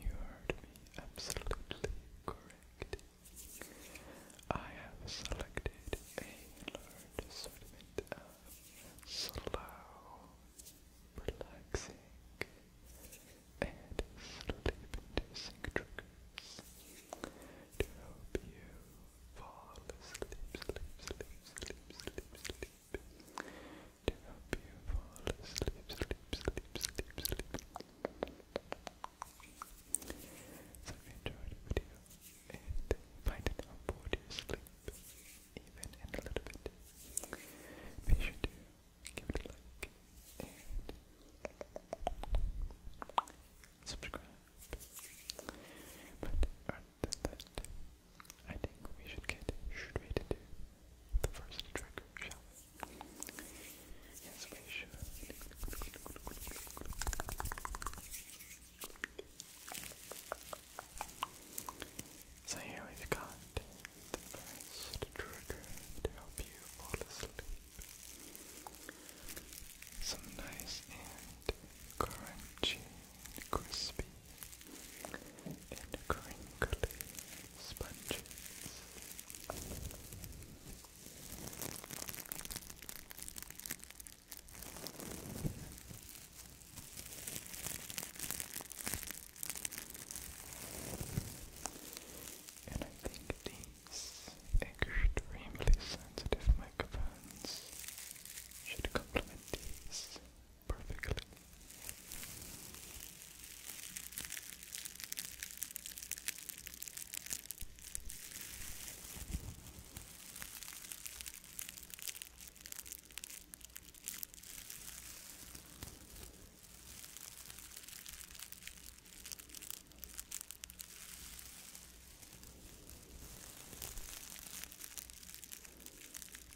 You heard me absolutely correct. I have selected a large assortment of slow, relaxing, and sleep-inducing triggers to help you fall asleep, to you fall asleep, sleep, sleep, sleep, sleep. So if you enjoyed the video and find it helpful to sleep, even in a little bit, be sure to give it a like and subscribe. But other than that, I think we should get should we do the first trigger, shall we? Yes, we should. So here we've got the first trigger to help you fall asleep. Some nice and crunchy, crispy and crinkly sponges. And I think these extremely sensitive microphones should complement these perfectly.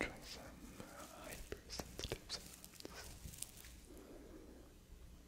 Try some hypersensitive sounds.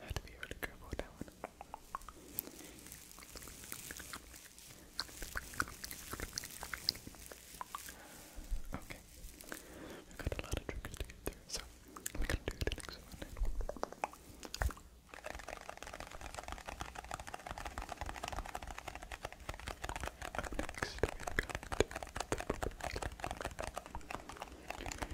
I had to be really careful with that one. Okay. We've got a lot of triggers to get through, so we're gonna do the next one.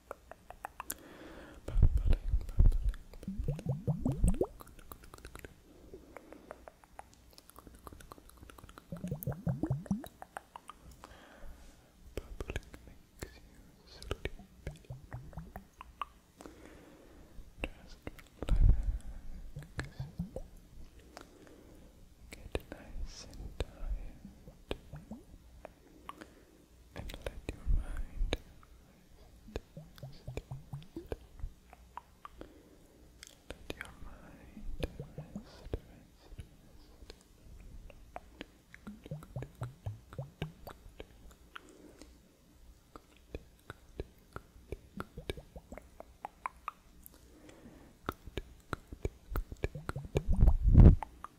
Bubbling, bubbling, bubbling. Bubbling makes you sleepy. Just relax. Get nice and tired. And let your mind let your mind rest, rest, rest. Good, good, good, good, good. Good, good, good, good. Good, good, good, good.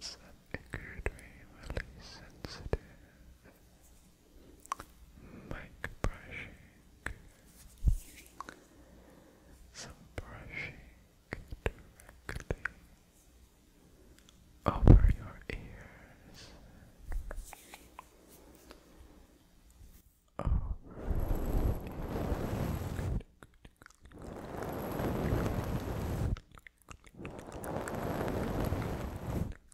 Set a good way, really sensitive mic brushing, some brushing directly over your ears. Oh.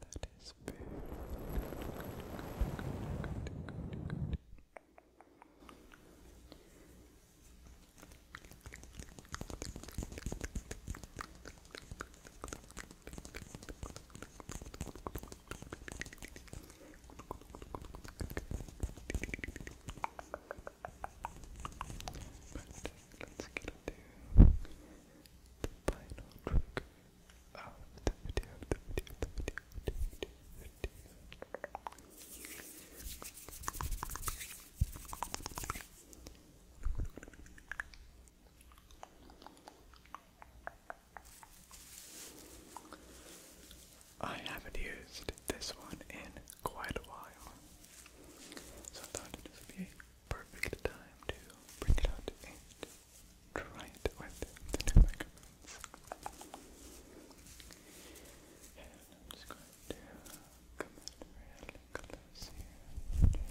That is very let's get into the final trick. I haven't used this one in quite a while, so I thought it would be a perfect time to bring it out and try it with the new microphones. And I'm just going to come really close here.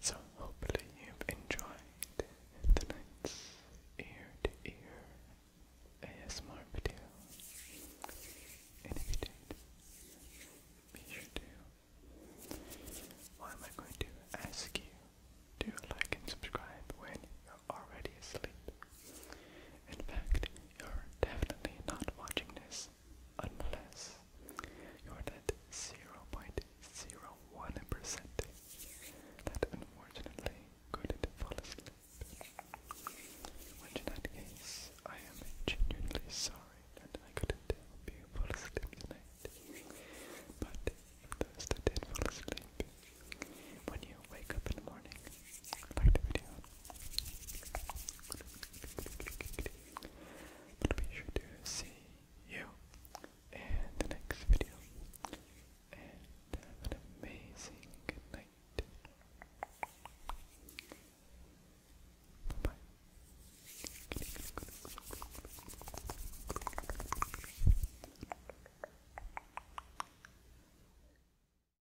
So, hopefully, you've enjoyed tonight's ear to ear ASMR video. if you did, be sure to. Why am I going to ask you to like and subscribe when you already asleep. In fact, you're definitely not watching this unless you're that 0.01% that unfortunately couldn't fall asleep. in that case, I am genuinely sorry that I couldn't help you fall asleep tonight. But if those that fall asleep, when you wake up in the morning. Like the video. But be sure to see you in the next video. And have an amazing good night. Bye